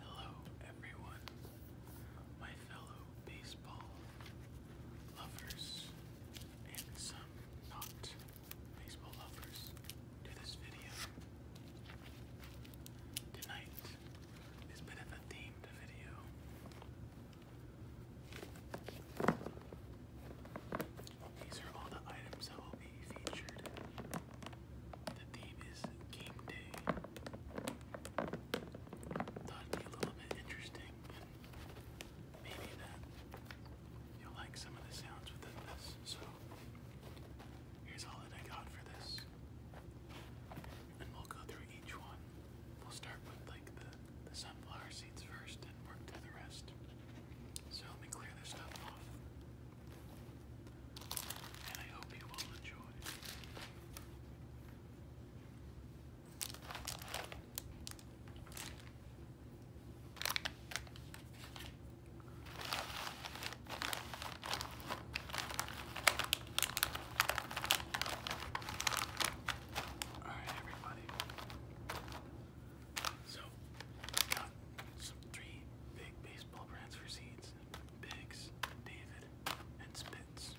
Hello, everyone, my fellow baseball lovers, and some not baseball lovers, to this video. Tonight is a themed video. These are all the items that will be featured. The theme game day. Thought would be a little bit interesting, and maybe that you'll like some of the sounds within this. So here's all that I got for this, and we'll go through each one. We'll start with the like the, the sunflower seeds first and work to the rest. So let me clear this stuff off. And I hope you will enjoy. Alright, everybody. So, we got some three big baseball brands for seeds Biggs, David, and Spitz.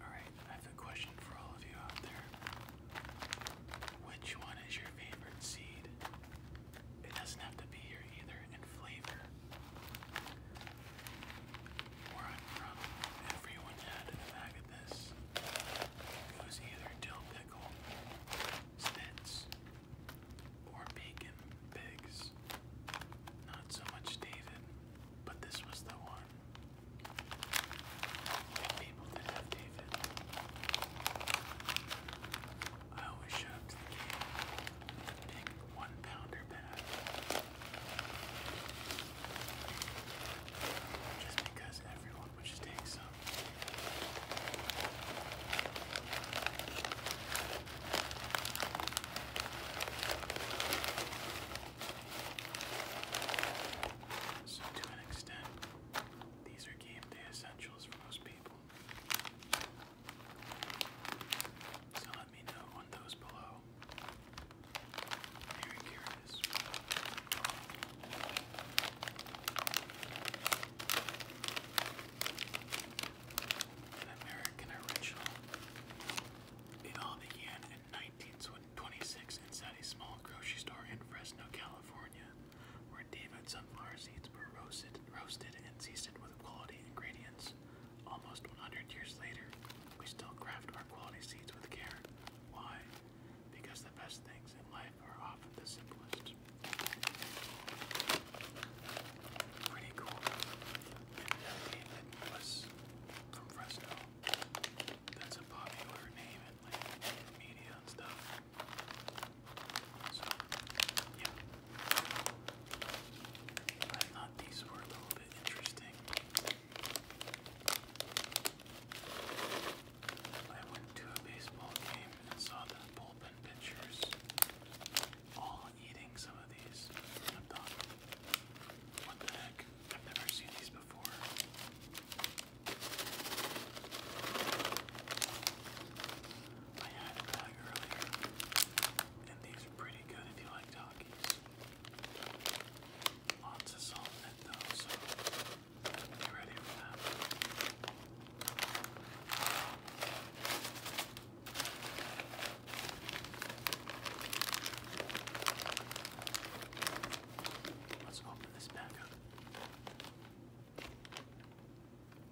Alright, I have a question for all of you out there. Which one is your favorite seed? It doesn't have to be here either in flavor. Where I'm from, everyone had a bag of this. It was either dill pickle, spits, or bacon pigs. Not so much David, but this was the one. People did have David. I always show to the game big one pounder bag. Just because everyone would take some. So, to an extent, these are game day essentials for most people. So let me know on those below. Very curious. An American original. It all began in 1926 inside a small grocery store in Fresno, California, David sunflower seeds were roasted, roasted and seasoned with quality ingredients. Almost 100 years later, we still craft our quality seeds with care. Why? Because the best things in life are often the simplest. Pretty cool. David was from Fresno. That's a popular name in media and stuff. So, yeah. I thought these were a little bit interesting. I went to a baseball game and saw the bullpen pitchers all eating some of these. And I thought, what the heck? I've never seen these before. I had a bag earlier, and these are pretty good if you like Takis. Lots of salt in it though, ready for that. Let's open this back up.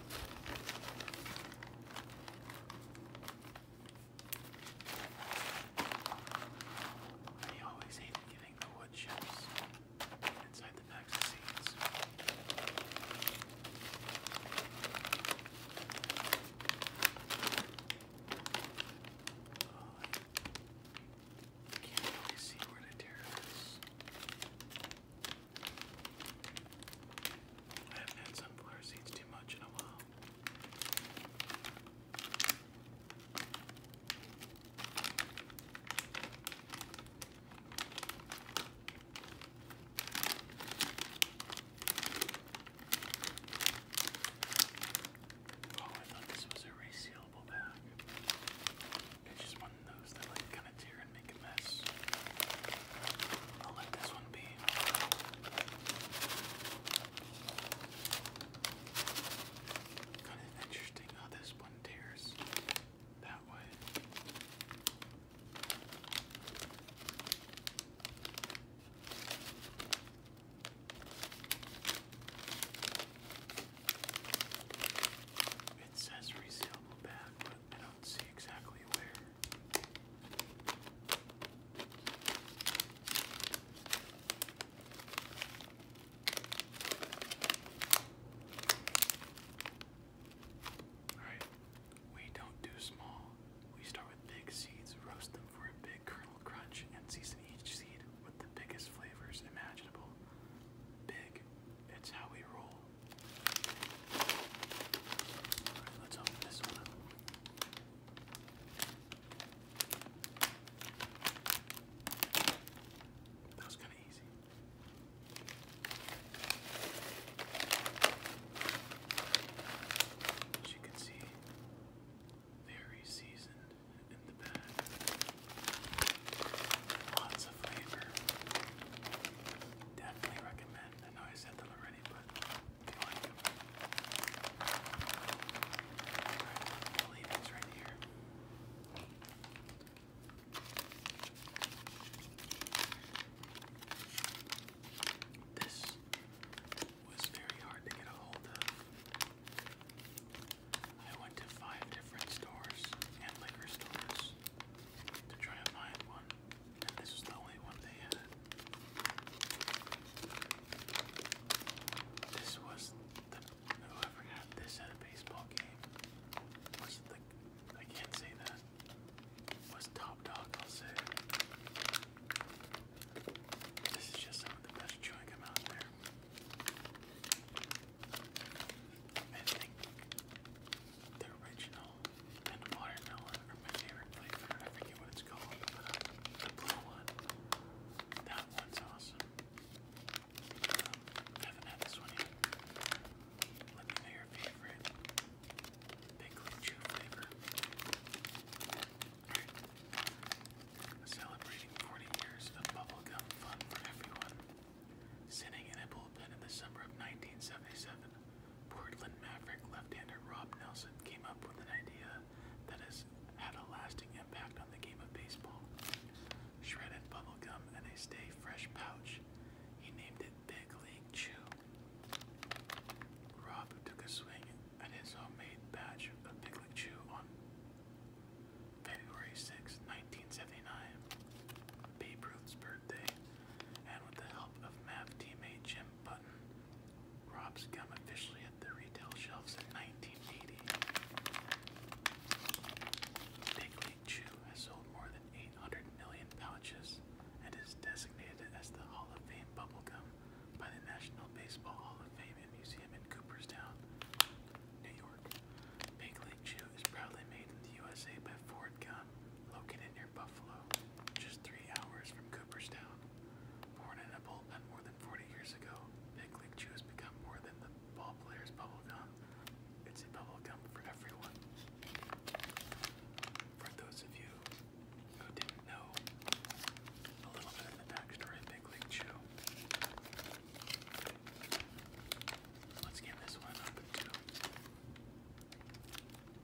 I always hated getting the wood chips inside the packs of seeds. Oh, I can't really see where to tear this. I haven't had sunflower seeds too much in a while. Oh, I thought this was a resealable bag. It just one kind of tear and make a mess. I'll let this one be. Kind of interesting how this one tears that way. It says resealable bag, I don't see exactly where. Alright, we don't do small. We start with big seeds, roast them for a big kernel crunch, and season each seed with the biggest flavors imaginable. Big, it's how we roll. Alright, let's open this one That was kind of easy. As you can see, very seasoned in the bag. Lots of flavor. Definitely recommend. I know I said that already, but if you like right here. This was very hard to get a hold of. I went to five different stores and liquor stores to try and find one this is the only one they had. This was the whoever had this at a baseball game was the I can't say that. Was top dog, I'll say. This is just some of the best chewing gum out there original and watermelon are my favorite flavor. I forget what it's called, but uh, the blue one. That one's awesome. Um, haven't had this one yet. Let your favorite. Pickle chew flavor. Celebrating 40 years of bubblegum fun for everyone. Sitting in a bullpen in the summer of 1977, Portland Maverick left-hander Rob Nelson came up with an idea that has had a lasting impact on the game of baseball. Shredded bubblegum in a stay fresh pouch. He named it Big League Chew. Rob took a swing at his homemade batch of Big League Chew on February 6, 1979, Babe Ruth's birthday and with the help of Mav teammate Jim Button, Rob's Gum officially hit the retail shelves in 1980. Big League Chew has sold more than 800 million pouches and is designated as the Hall of Fame bubble gum by the National Baseball Hall of Fame and Museum in Cooperstown, New York. Big League Chew it's proudly made in the USA by Ford Gun, located near Buffalo, just three hours from Cooperstown. Born in a bullpen more than 40 years ago, Big League Chew has become more than the ballplayer's bubblegum. It's a bubblegum for everyone. For those of you who didn't know a little bit of the backstory of Big League Chew, Let's give this one up and Nice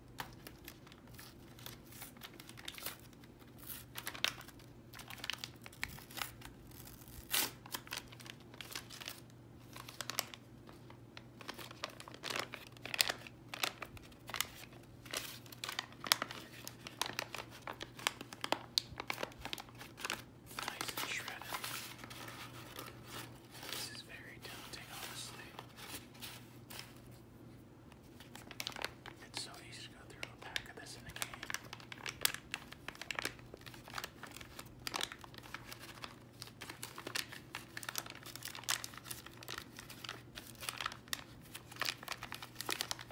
and shredded. This is very daunting, honestly. It's so easy to go through a pack of this in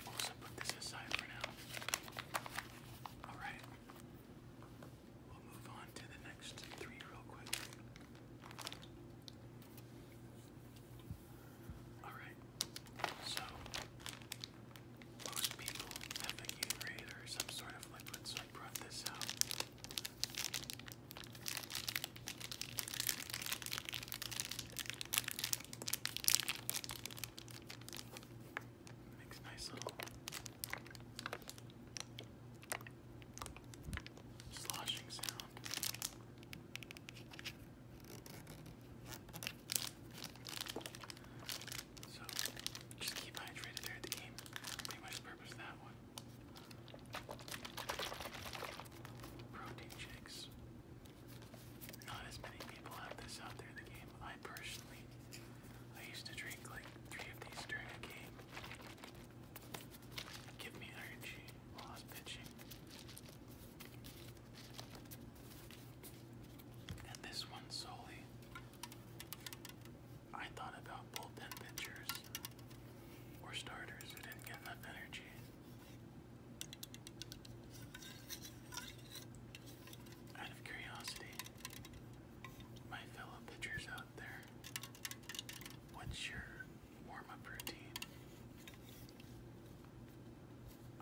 Also put this aside for now. Alright. We'll move on to the next three real quick. Alright, so most people have a urate or some sort of liquid, so I brought this out. Makes nice little sloshing sound. So just keep hydrated during the game. Pretty much the purpose of that one. Protein shakes. Not as many people have this out there in the game. I personally, I used to drink like three of these during a game give me energy while I was pitching. And this one solely, I thought about bullpen pitchers or starters who didn't get enough energy. Out of curiosity, my fellow pitchers out What's your warm up routine?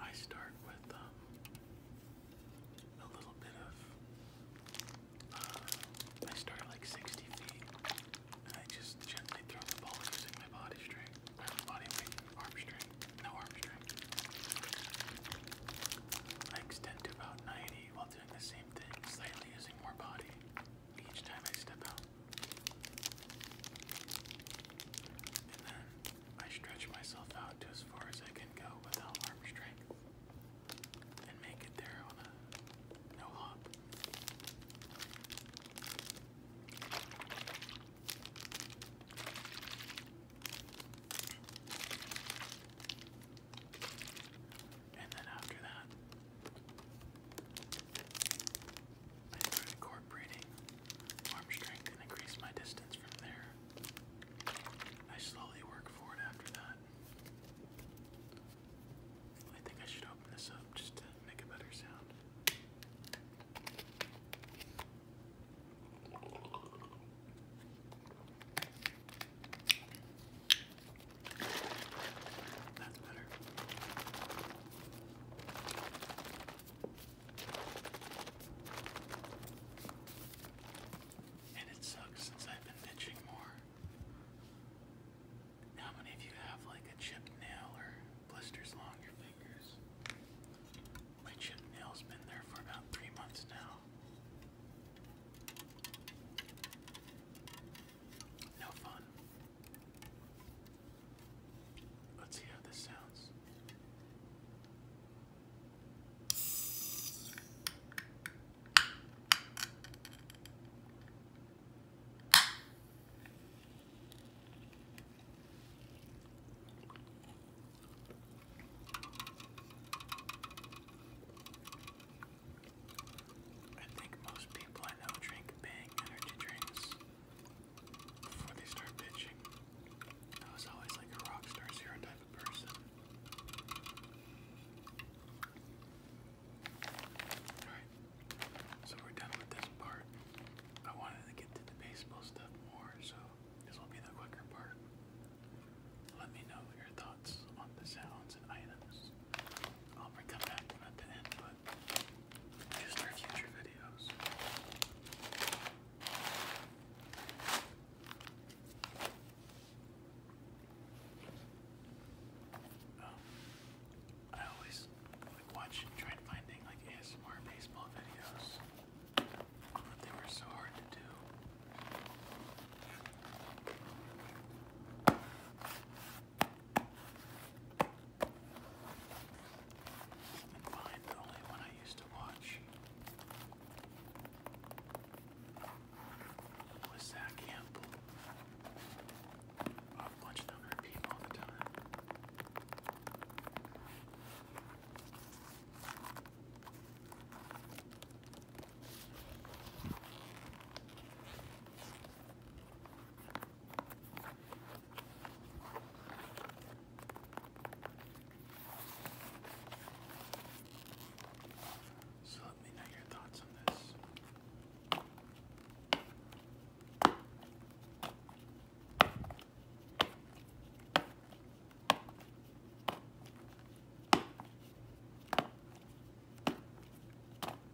I start with um, a little bit of. Uh, I start like 60 feet and I just gently throw the ball using my body strength, or body weight, arm strength, no arm strength. I extend to about 90 while doing the same thing, slightly using more body each time I step out. And then I stretch myself out to as far as I can go without arm strength and make it there on a no hop. And then after that, I started incorporating arm strength and increased my distance from there. I slowly work forward after that. I think I should open this up just to make a better sound. That's better. And it sucks since I've been itching more. How many of you have like a chipped nail or blisters along your fingers? My chipped nail's been there for about three months now. No fun. Let's see how this sounds. I think most people I know drink Bang energy drinks before they start bitching. I was always like a rock star zero type of person. Alright, so we're done with this part. I wanted to get to the baseball stuff more, so this will be the quicker part. Let me know your thoughts on the sounds and items I'll bring them back at the end, but just for future videos. Um, I always like watch and try find like ASMR baseball videos, but they were so hard to do. And find the only one I used to watch was Zach Campbell. I've watched them repeat all the time. So let me know your thoughts on this.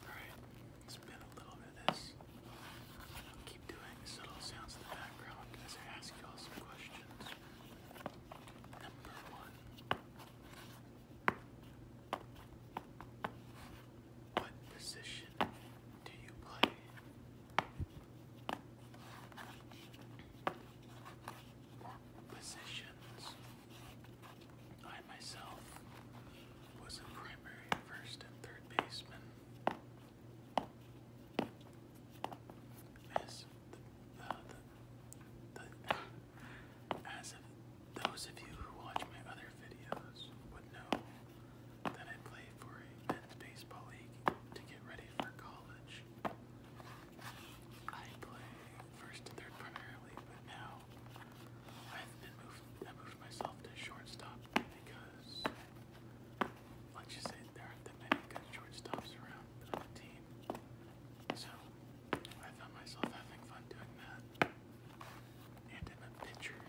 Alright, spin a little bit of this. I'll keep doing subtle sounds in the background as I ask you all some questions. Number one. What position do you play? positions? I myself was a primary first and third baseman. As the as those of you who watch my other videos would know that I play for a men's baseball league to get ready for college. I play first to third primarily, but now I moved myself to shortstop because let's just say there aren't that many good shortstops around on the team. So I found myself having fun doing that. And in a picture.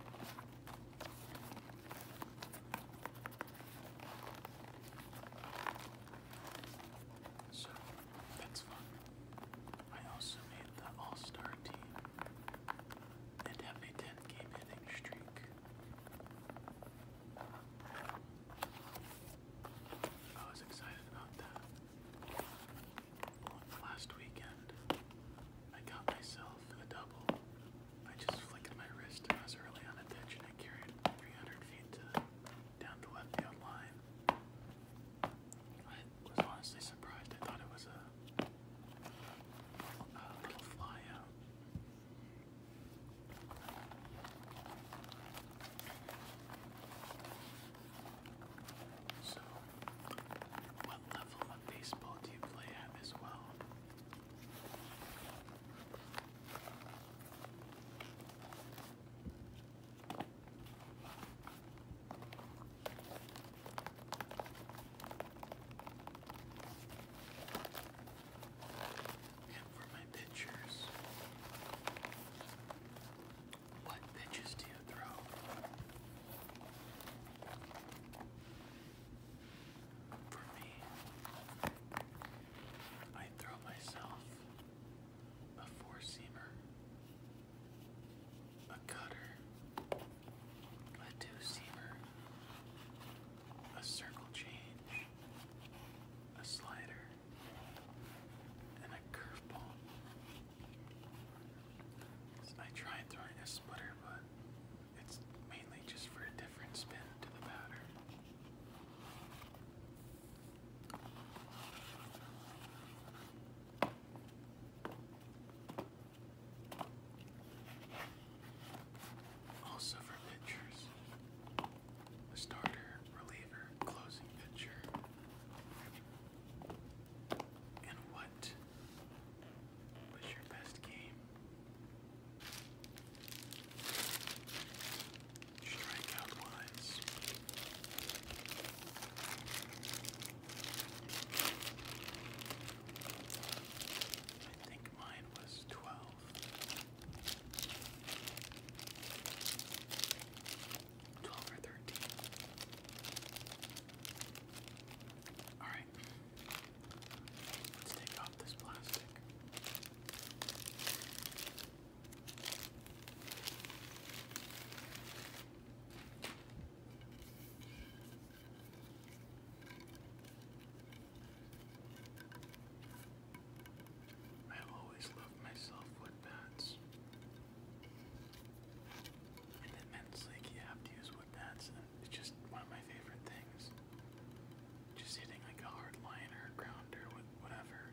So that's fun. I also made the all-star team and have a 10 game hitting streak. I was excited about that. Last weekend, I got myself a double. I just flicked my wrist and I was early on I carried 300 feet to, down to left field line. I was honestly surprised. I thought it was a, little fly so, what level of baseball do you play at as well? And for my pictures, what pitches do you throw? For me, I throw myself a four seamer, a cutter, a two seamer, a circle change, a slider, and a curveball. I tried throwing a splitter, but it's mainly just for a different spin to the batter. Also for pitchers, a starter, reliever, closing pitcher, and what was your best game? Strikeout wise. I think mine was 12. 12 or 13. Alright. Let's take off this plastic. I have always loved myself with bats. In the men's league, you use wood bats, it's just one of my favorite things. Just hitting like a hard line or a whatever,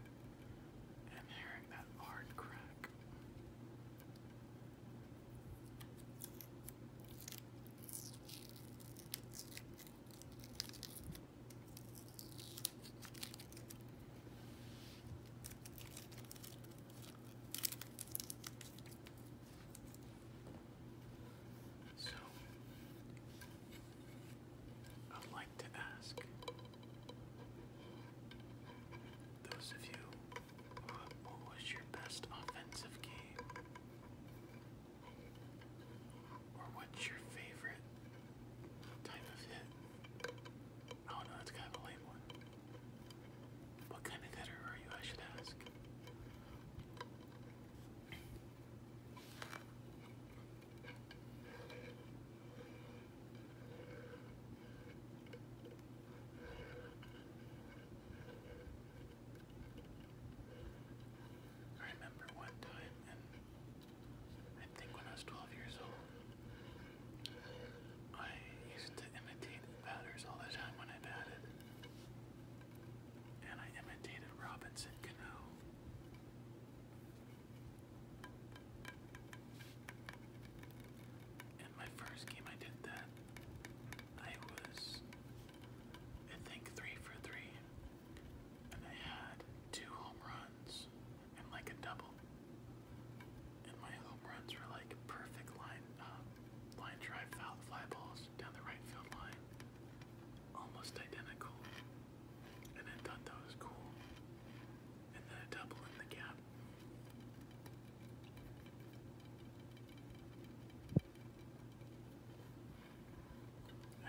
and hearing that hard crack. So, I'd like to ask those of you what was your best offensive game? Or what's your favorite type of hit? Oh no, that's kind of a lame one. What kind of hitter are you, I should ask? I remember one time, and I think when I was 12 years old, I used to imitate batters all the time when I batted. And I imitated Robinson Cano. In my first game I did that, I was, I think, three for three. And I had two home runs and like a double. And my home runs were like perfect line, um, line drive foul fly balls down the right field line, almost identical. And I thought that was cool. And then a double in the gap.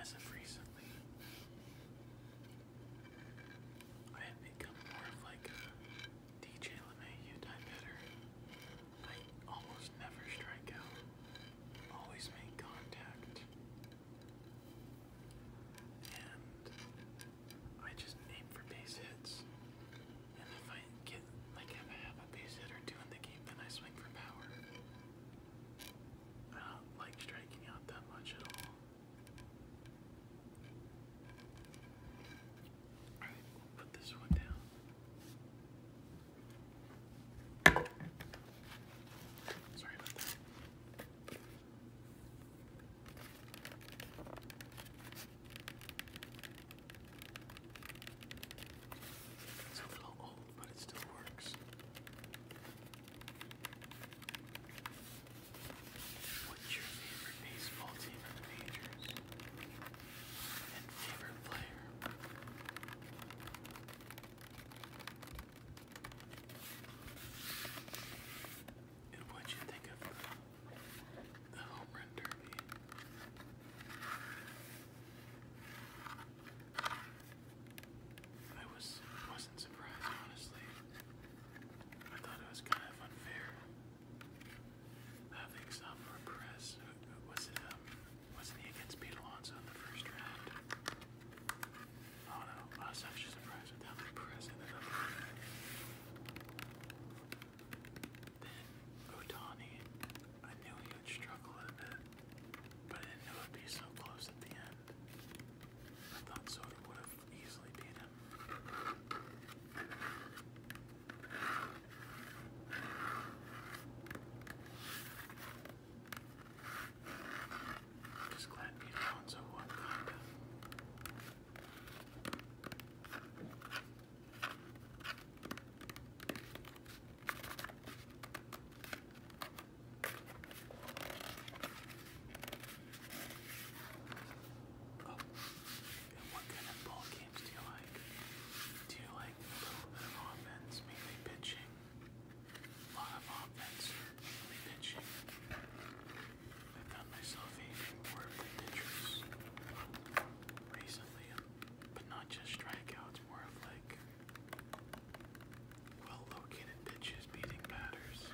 As of recently, I have become more of like DJ LeMay, you die better. I almost never strike out. Always make contact. And I just aim for base hits. And if I get like if I have a base hit or two in the game, then I swing for power. I don't like striking out that much at all. Alright, we put this one down. Sorry about that. It's a little old, but it still works. What's your favorite baseball team in the majors? And favorite player? And what'd you think of the, home run derby? I was wasn't surprised honestly. I thought it was kind of unfair I think Salvador Perez uh, uh, was it um, wasn't he against Pete in the first round? Oh no, I was actually surprised with how Perez ended up. Then Otani, I knew he would struggle a bit, but I didn't know it'd be so close at the end. I thought Soto would have easily beat him. Just glad Pete Alonso won, kinda. Oh. what kind of ball games do you like? Do you like a little bit of offense, mainly pitching? A lot of offense, mainly pitching. I found myself aiming more for pitchers recently, but not just strikeouts, more of like well located pitches beating batters.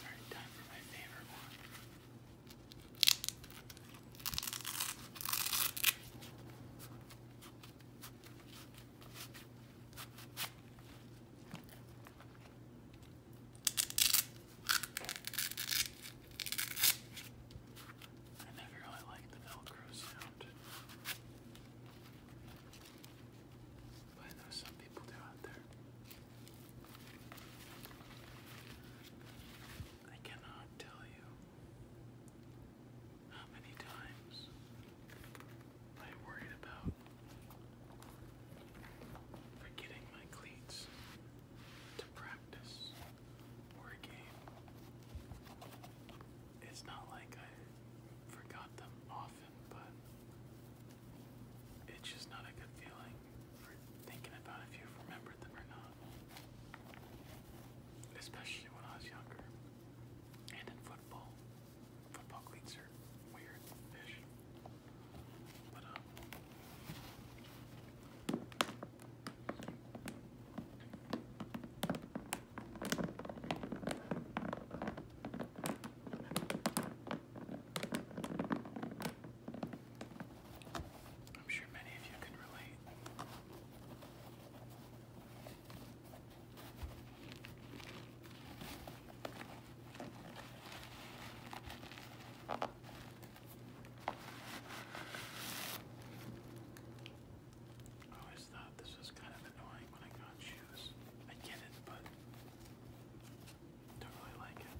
Alright, time for my favorite one. I never really liked the Velcro but I know some people do out there. I cannot tell you how many times I worried about forgetting my cleats to practice or a game it's not like I forgot them often, but it's just not a good feeling for thinking about if you've remembered them or not. Especially when I was younger. And in football. Football cleats are weird fish. But um I'm sure many of you can relate. I always thought this was kind of annoying when I got shoes. I get it, but don't really like it.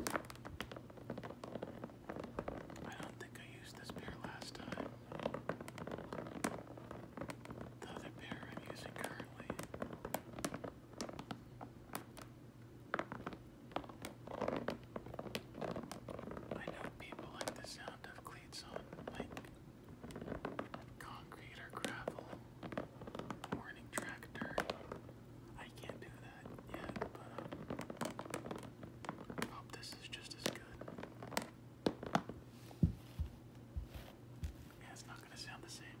I don't think I used this pair last time. The other pair I'm using currently. I know people like the sound of cleats on, like concrete or gravel, morning tractor. I can't do that yet, but I um, hope this is just as good. Yeah, it's not gonna sound the same.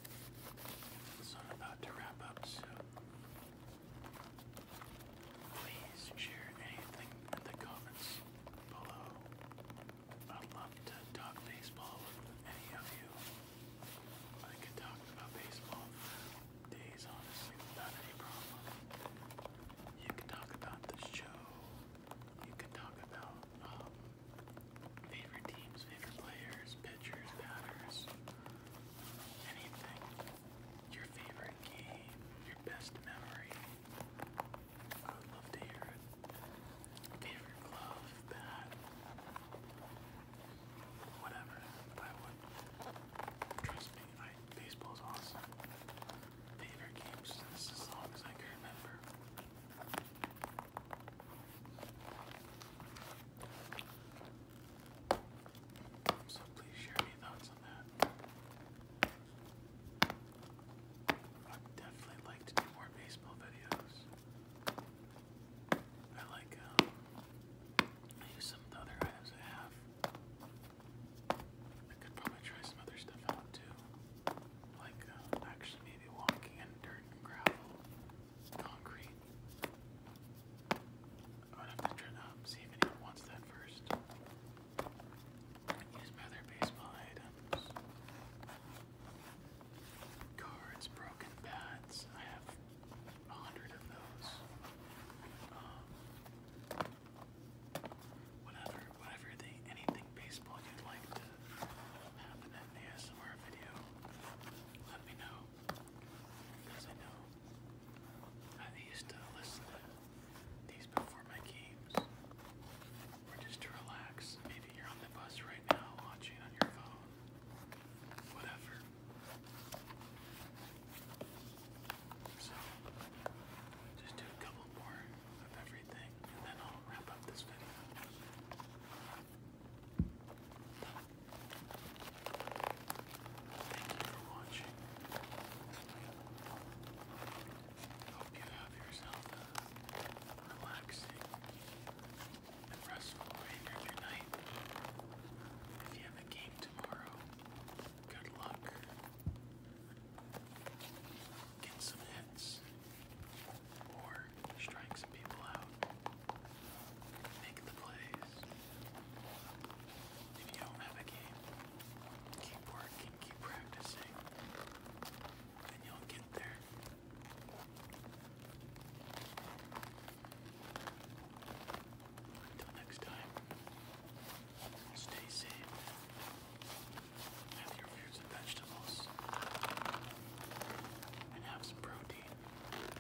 So about to wrap up, so please share anything in the comments below. I'd love to talk baseball with any of you. I could talk about baseball for days, honestly, without any problem. You can talk about the show. You can talk about um, favorite teams, favorite players, pitchers, batters, anything. Your favorite game, your best memory. I would love to hear it. Favorite glove, bat, whatever. I would. Trust me, I, baseball's awesome. Favorite games as long as I can remember. So please share your thoughts on that. i definitely like to do more baseball videos. I like, um, use some other items I have. I could probably try some other stuff out too. Like, uh, actually maybe walking in dirt and gravel concrete. I'm gonna have to up, um, see if anyone wants that first. Use my baseball items. Cards, broken bats. I have a hundred of those. Um, whatever, whatever the anything baseball you'd like to happen in an ASMR video, let me know. Because I know I used to listen to these before my games. Or just to relax. Maybe you're on the bus right now watching on your phone. Whatever. So, just do a couple more of everything and then I'll wrap up this video. Thank you for watching. Hope you have yourself a relaxing and restful remainder of your night. If you have a game tomorrow, good luck. Get some hits or strike some people out, make the plays. If you don't have a game, keep working, keep practicing, and you'll get there. Until next time, stay safe. Have your fruits and vegetables. And have some protein.